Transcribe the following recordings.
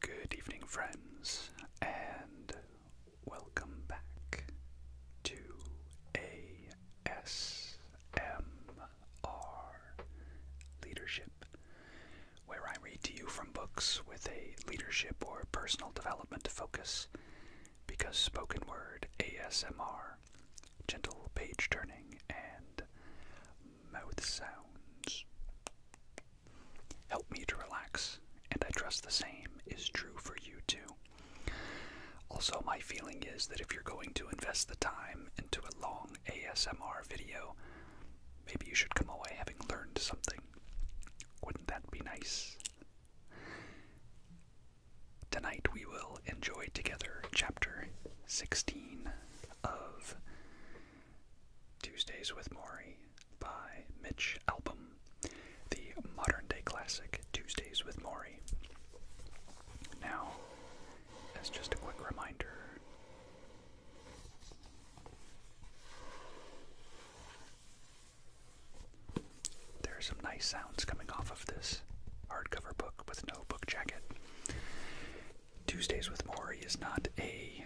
Good evening, friends, and welcome back to ASMR Leadership, where I read to you from books with a leadership or personal development focus because spoken word ASMR, gentle page turning, and mouth sounds help me to relax, and I trust the same is true for you too. Also, my feeling is that if you're going to invest the time into a long ASMR video, maybe you should come away having learned something. Wouldn't that be nice? Tonight we will enjoy together chapter 16 of Tuesdays with Maury by Mitch Album, the modern day classic Tuesdays with Maury. Now, as just a quick reminder, there are some nice sounds coming off of this hardcover book with no book jacket. Tuesdays with Maury is not a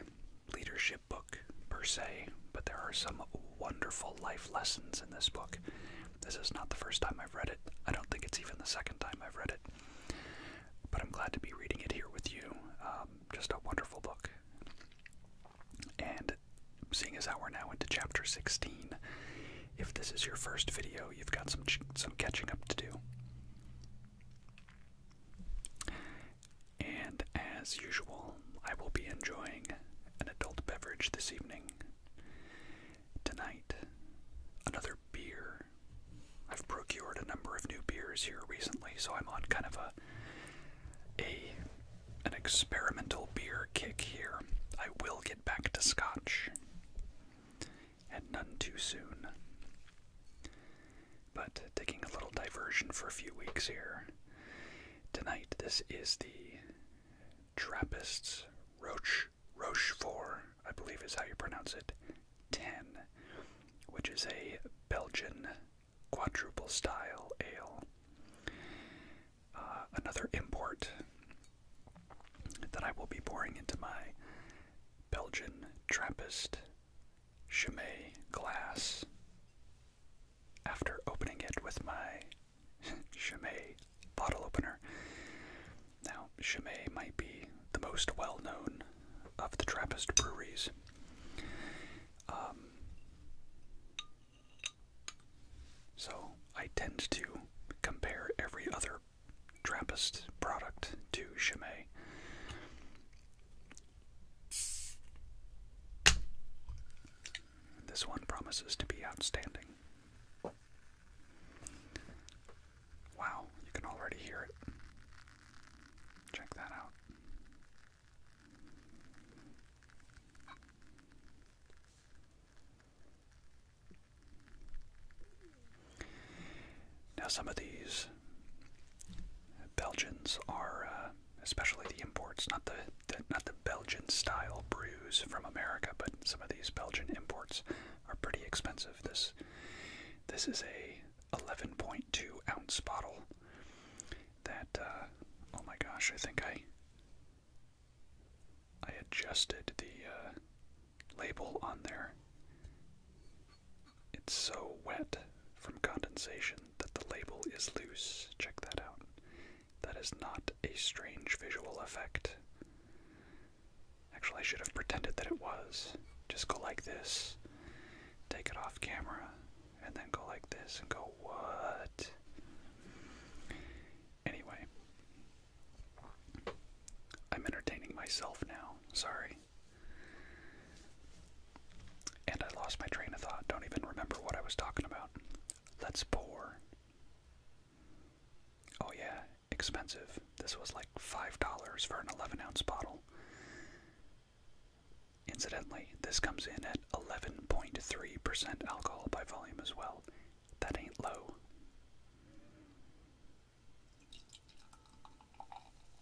leadership book per se, but there are some wonderful life lessons in this book. This is not the first time I've read it. I don't think it's even the second time I've read it. But I'm glad to be reading it here with you. Um, just a wonderful book. And seeing as how we're now into chapter 16, if this is your first video, you've got some, some catching up to do and as usual, I will be enjoying an adult beverage this evening. Tonight, another beer. I've procured a number of new beers here recently, so I'm on kind of a a an experimental beer kick here. I will get back to scotch, and none too soon but taking a little diversion for a few weeks here. Tonight, this is the Trappists Roche Roche Four, I believe is how you pronounce it, 10, which is a Belgian quadruple style ale. Uh, another import that I will be pouring into my Belgian Trappist Chimay glass. After opening it with my Chimay bottle opener. Now, Chimay might be the most well known of the Trappist breweries. Um, so, I tend to compare every other Trappist product to Chimay. This one promises to be outstanding. Wow, you can already hear it. Check that out. Now, some of these Belgians are, uh, especially the imports, not the, not the Belgian style brews from America, but some of these Belgian imports are pretty expensive. This this is a 11.2 ounce bottle. That uh, oh my gosh, I think I I adjusted the uh, label on there. It's so wet from condensation that the label is loose. Check that out. That is not a strange visual effect. Actually, I should have pretended that it was. Just go like this, take it off camera, and then go like this and go, what? Anyway, I'm entertaining myself now. Sorry. And I lost my train of thought. Don't even remember what I was talking about. Let's pour. Oh, yeah, expensive. This was like $5 for an 11 ounce bottle. Incidentally, this comes in at 11.3% alcohol by volume as well. That ain't low.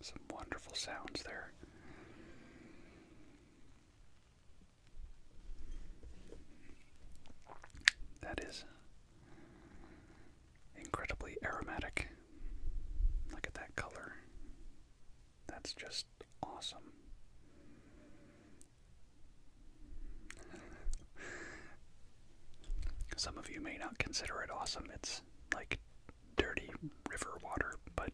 Some wonderful sounds there. That is incredibly aromatic. Look at that color. That's just awesome. Some of you may not consider it awesome. It's like dirty river water, but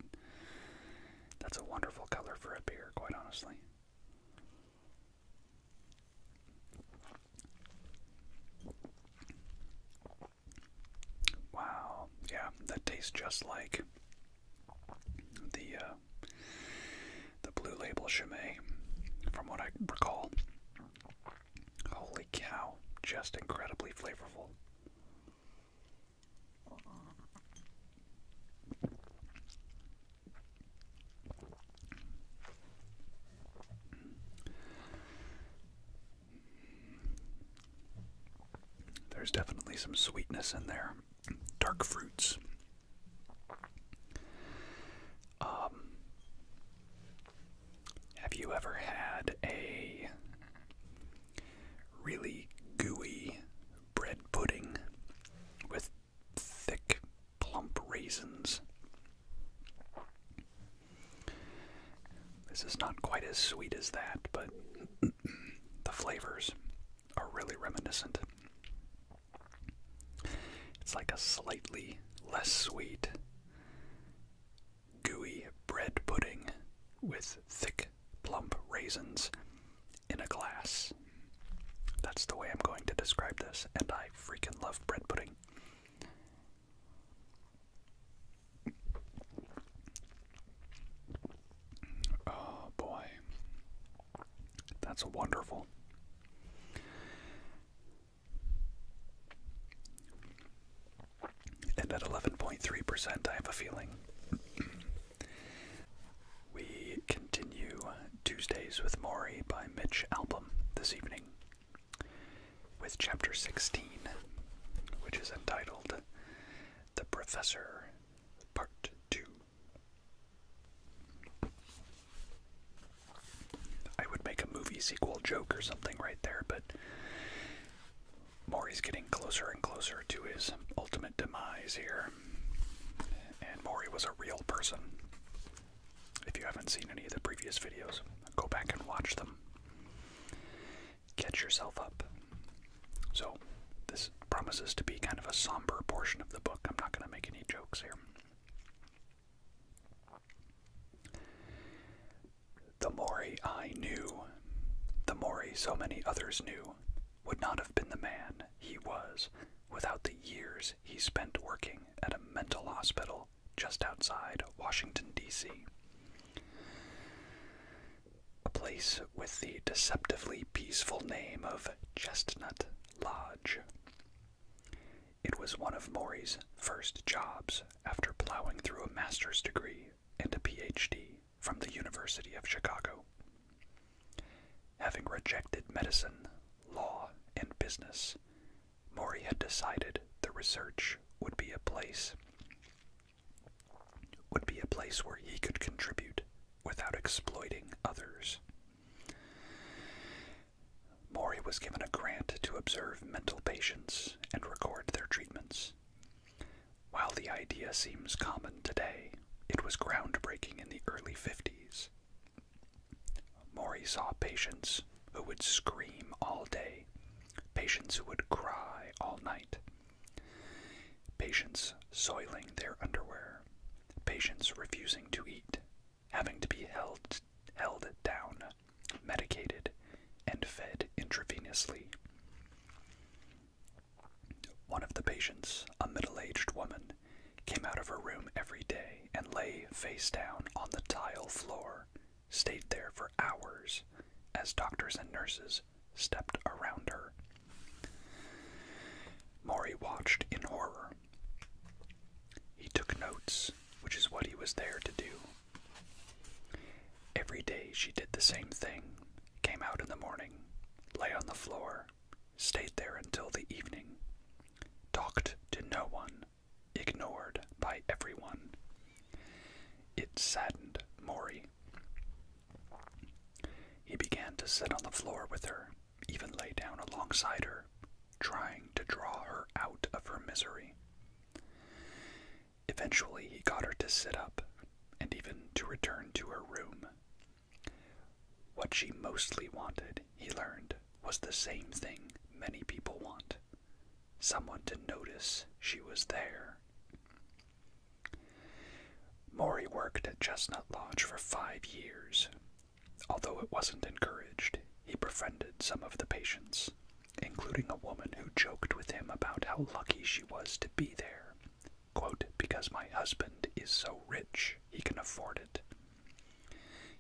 that's a wonderful color for a beer, quite honestly. Wow, yeah, that tastes just like the uh, the blue label Chimay, from what I recall. Holy cow, just incredibly flavorful. There's definitely some sweetness in there, dark fruits. Um, have you ever had a really gooey bread pudding with thick plump raisins. This is not quite as sweet as that, but the flavors are really reminiscent. It's like a slightly less sweet, gooey bread pudding with thick, plump raisins in a glass. That's the way I'm going to describe this, and I freaking love bread pudding. Oh boy. That's wonderful. And at 11.3%, I have a feeling. we continue Tuesdays with Maury by Mitch Album this evening with chapter 16, which is entitled The Professor, Part 2. I would make a movie sequel joke or something right there, but Maury's getting closer and closer to his ultimate demise here. And Maury was a real person if you haven't seen any of the previous videos, go back and watch them. Catch yourself up. So, this promises to be kind of a somber portion of the book. I'm not going to make any jokes here. The Maury I knew, the Maury so many others knew, would not have been the man he was without the years he spent working at a mental hospital just outside Washington, D.C. A place with the deceptively peaceful name of Chestnut Lodge. It was one of Maury's first jobs after plowing through a master's degree and a PhD from the University of Chicago. Having rejected medicine, law, and business, Maury had decided the research would be a place would be a place where he could contribute without exploiting others. Maury was given a grant to observe mental patients and record their treatments. While the idea seems common today, it was groundbreaking in the early 50s. Maury saw patients who would scream all day, patients who would cry all night, patients soiling their underwear, patients refusing to eat, having to be held, held down, medicated, and fed intravenously. One of the patients, a middle aged woman, came out of her room every day and lay face down on the tile floor stayed there for hours as doctors and nurses stepped around her. Maury watched in horror. He took notes, which is what he was there to do. Every day she did the same thing came out in the morning, lay on the floor, stayed there until the evening, talked to no one, ignored by everyone. It saddened Maury. He began to sit on the floor with her, even lay down alongside her, trying to draw her out of her misery. Eventually, he got her to sit up and even to return to her room. What she mostly wanted, he learned, was the same thing many people want someone to notice she was there. Maury worked at Chestnut Lodge for five years. Although it wasn't encouraged, he befriended some of the patients, including a woman who joked with him about how lucky she was to be there. because my husband is so rich, he can afford it.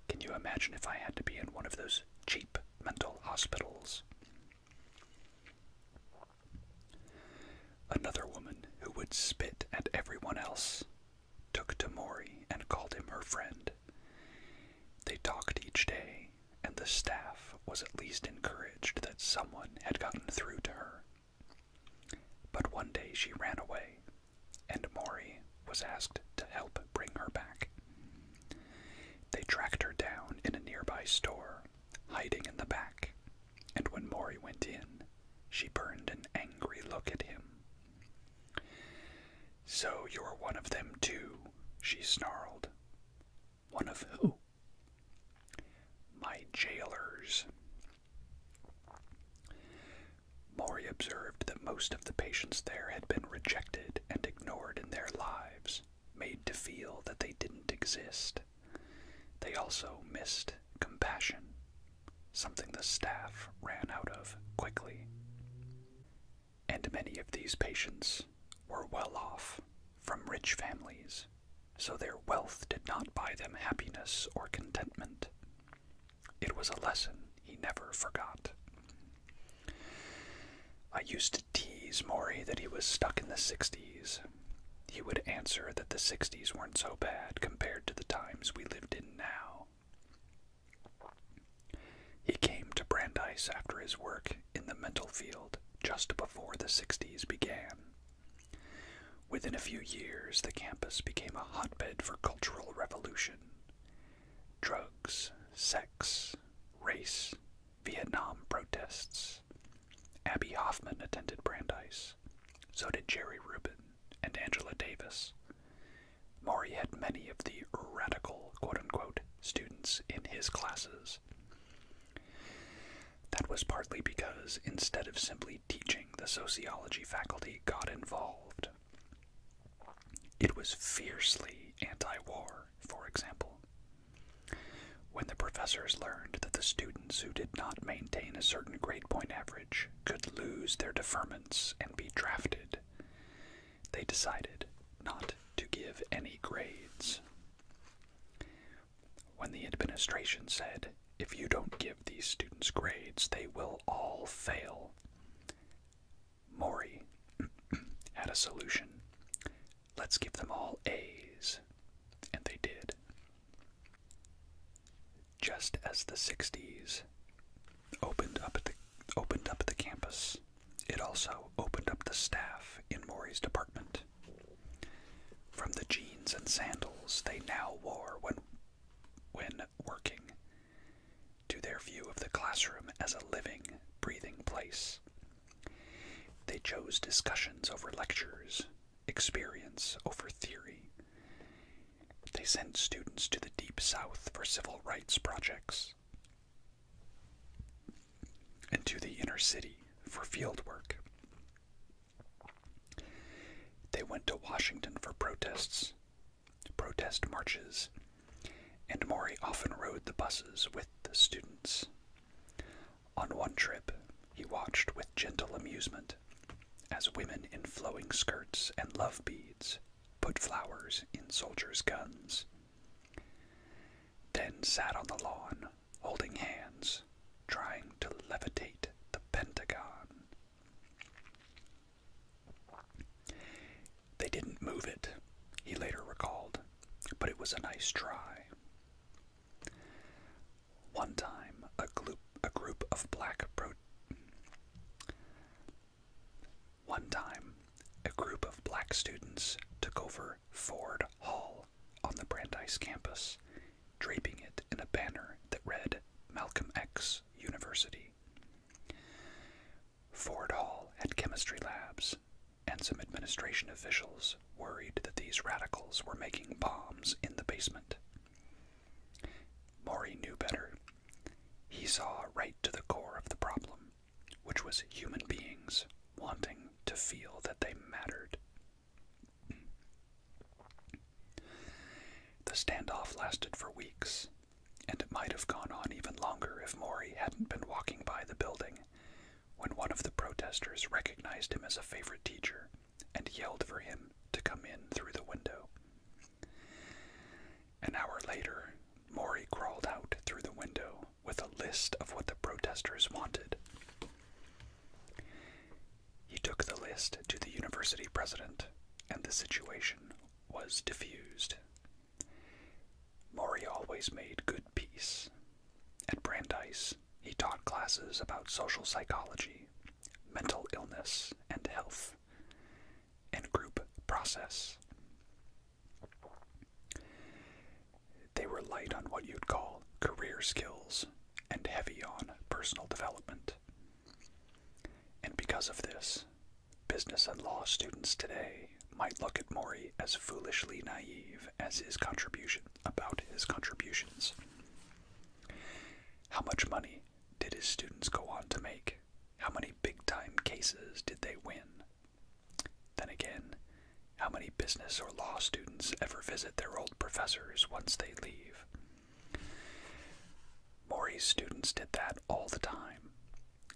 Can you imagine if I had to be in one of those cheap mental hospitals. Another woman who would spit at everyone else took to Mori and called him her friend. They talked each day, and the staff was at least encouraged that someone had gotten through to her. But one day she ran away, and Mori was asked to help bring her back. They tracked her down in a nearby store, hiding in the back, and when Mori went in, she burned an angry look at him. So you're one of them too, she snarled. One of who? My jailers. Mori observed them most of the patients there had been rejected and ignored in their lives, made to feel that they didn't exist. They also missed compassion, something the staff ran out of quickly. And many of these patients were well off, from rich families, so their wealth did not buy them happiness or contentment. It was a lesson he never forgot. I used to tease Maury that he was stuck in the 60s. He would answer that the 60s weren't so bad compared to the times we lived in now. He came to Brandeis after his work in the mental field just before the 60s began. Within a few years, the campus became a hotbed for cultural revolution drugs, sex, race, Vietnam protests. Abby Hoffman attended Brandeis. So did Jerry Rubin and Angela Davis. Maury had many of the radical, quote unquote, students in his classes. That was partly because instead of simply teaching, the sociology faculty got involved. It was fiercely anti war, for example. When the professors learned that the students who did not maintain a certain grade point average could lose their deferments and be drafted, they decided not to give any grades. When the administration said, if you don't give these students grades, they will all fail, Mori had a solution. Let's give them all A's. And they did. Just as the 60s opened up the opened up the campus, it also opened up the staff in Mori's department. From the jeans and sandals they now wore when when working to their view of the classroom as a living, breathing place. They chose discussions over lectures, experience over theory. They sent students to the Deep South for civil rights projects and to the inner city for field work. They went to Washington for protests, protest marches, and Maury often rode the buses with the students. On one trip, he watched with gentle amusement as women in flowing skirts and love beads put flowers in soldiers' guns, then sat on the lawn, holding hands, trying to levitate the Pentagon. They didn't move it, he later recalled, but it was a nice try. One time, a group, a group of black of black students took over Ford Hall on the Brandeis campus, draping it in a banner that read Malcolm X University. Ford Hall and chemistry labs, and some administration officials worried that these radicals were making bombs in the basement. Maury knew better. He saw right to the core of the problem, which was human beings wanting to feel that they mattered. The standoff lasted for weeks, and it might have gone on even longer if Maury hadn't been walking by the building when one of the protesters recognized him as a favorite teacher and yelled for him to come in through the window. An hour later, Maury crawled out through the window with a list of what the protesters wanted. He took the list to the university president, and the situation was diffused. Maury always made good peace. At Brandeis, he taught classes about social psychology, mental illness and health, and group process. They were light on what you'd call career skills and heavy on personal development. And because of this, business and law students today might look at Mori as foolishly naive as his contribution about his contributions. How much money did his students go on to make? How many big time cases did they win? Then again, how many business or law students ever visit their old professors once they leave? Mori's students did that all the time,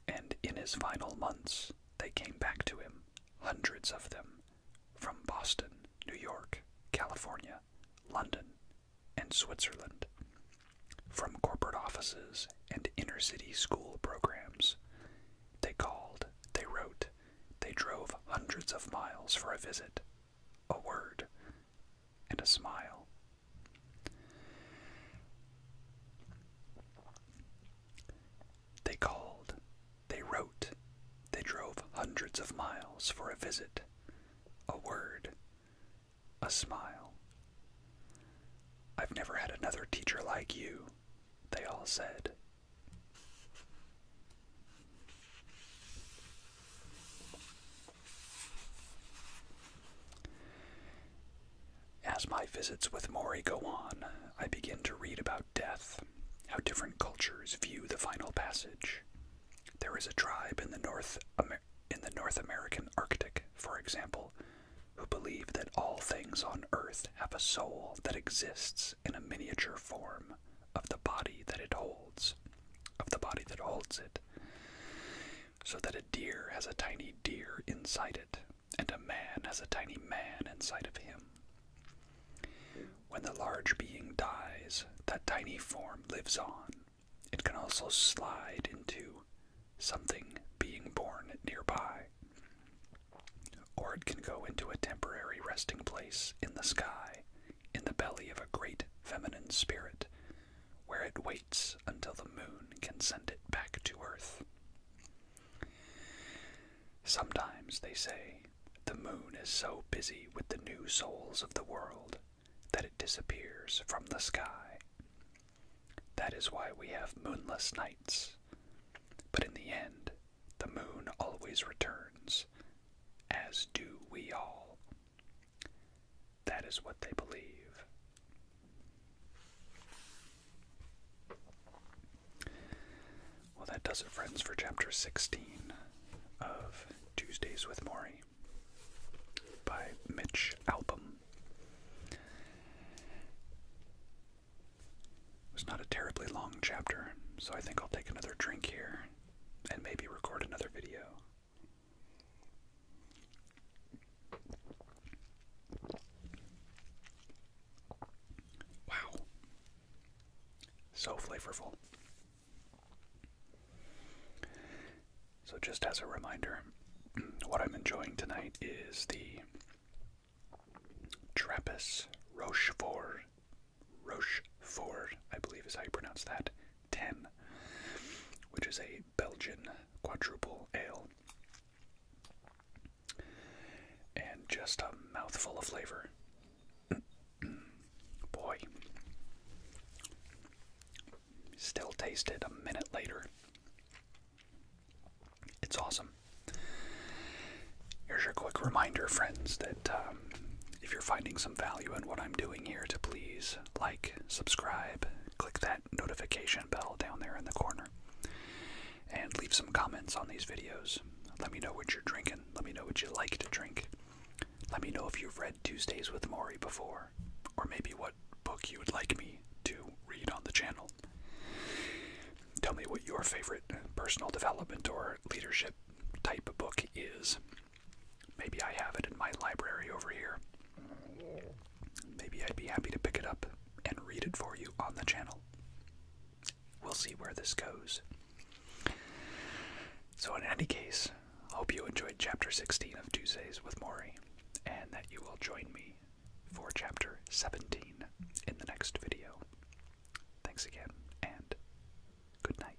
and in his final months, they came back to him, hundreds of them, from Boston, New York, California, London, and Switzerland, from corporate offices and inner city school programs. They called, they wrote, they drove hundreds of miles for a visit, a word, and a smile. They called, they wrote, they drove hundreds of miles for a visit, a word, a smile. I've never had another teacher like you, they all said. As my visits with Mori go on, I begin to read about death, how different cultures view the final passage. There is a tribe in the North in the North American Arctic, for example, who believe that all things on earth have a soul that exists in a miniature form of the body that it holds, of the body that holds it. So that a deer has a tiny deer inside it, and a man has a tiny man inside of him. When the large being dies, that tiny form lives on. It can also slide into something being born nearby, or it can go into a temporary resting place in the sky, in the belly of a great feminine spirit, where it waits until the moon can send it back to Earth. Sometimes, they say, the moon is so busy with the new souls of the world that it disappears from the sky. That is why we have moonless nights. But in the end, the moon always returns, as do we all. That is what they believe. Well, that does it, friends, for chapter 16 of Tuesdays with Maury by Mitch Album. It was not a terribly long chapter, so I think I'll take another drink here and maybe record another video. Wow. So flavorful. So, just as a reminder, what I'm enjoying tonight is the Trappist Rochefort, Rochefort, I believe is how you pronounce that, 10, which is a Belgian quadruple ale and just a mouthful of flavor. Boy, still taste it a minute later. It's awesome. Here's your quick reminder, friends, that um, if you're finding some value in what I'm doing here, to please like, subscribe, click that notification bell down there in the corner and leave some comments on these videos. Let me know what you're drinking. Let me know what you like to drink. Let me know if you've read Tuesdays with Maury before, or maybe what book you would like me to read on the channel. Tell me what your favorite personal development or leadership type of book is. Maybe I have it in my library over here. Maybe I'd be happy to pick it up and read it for you on the channel we'll see where this goes. So, in any case, hope you enjoyed Chapter 16 of Tuesdays with Maury, and that you will join me for Chapter 17 in the next video. Thanks again, and good night.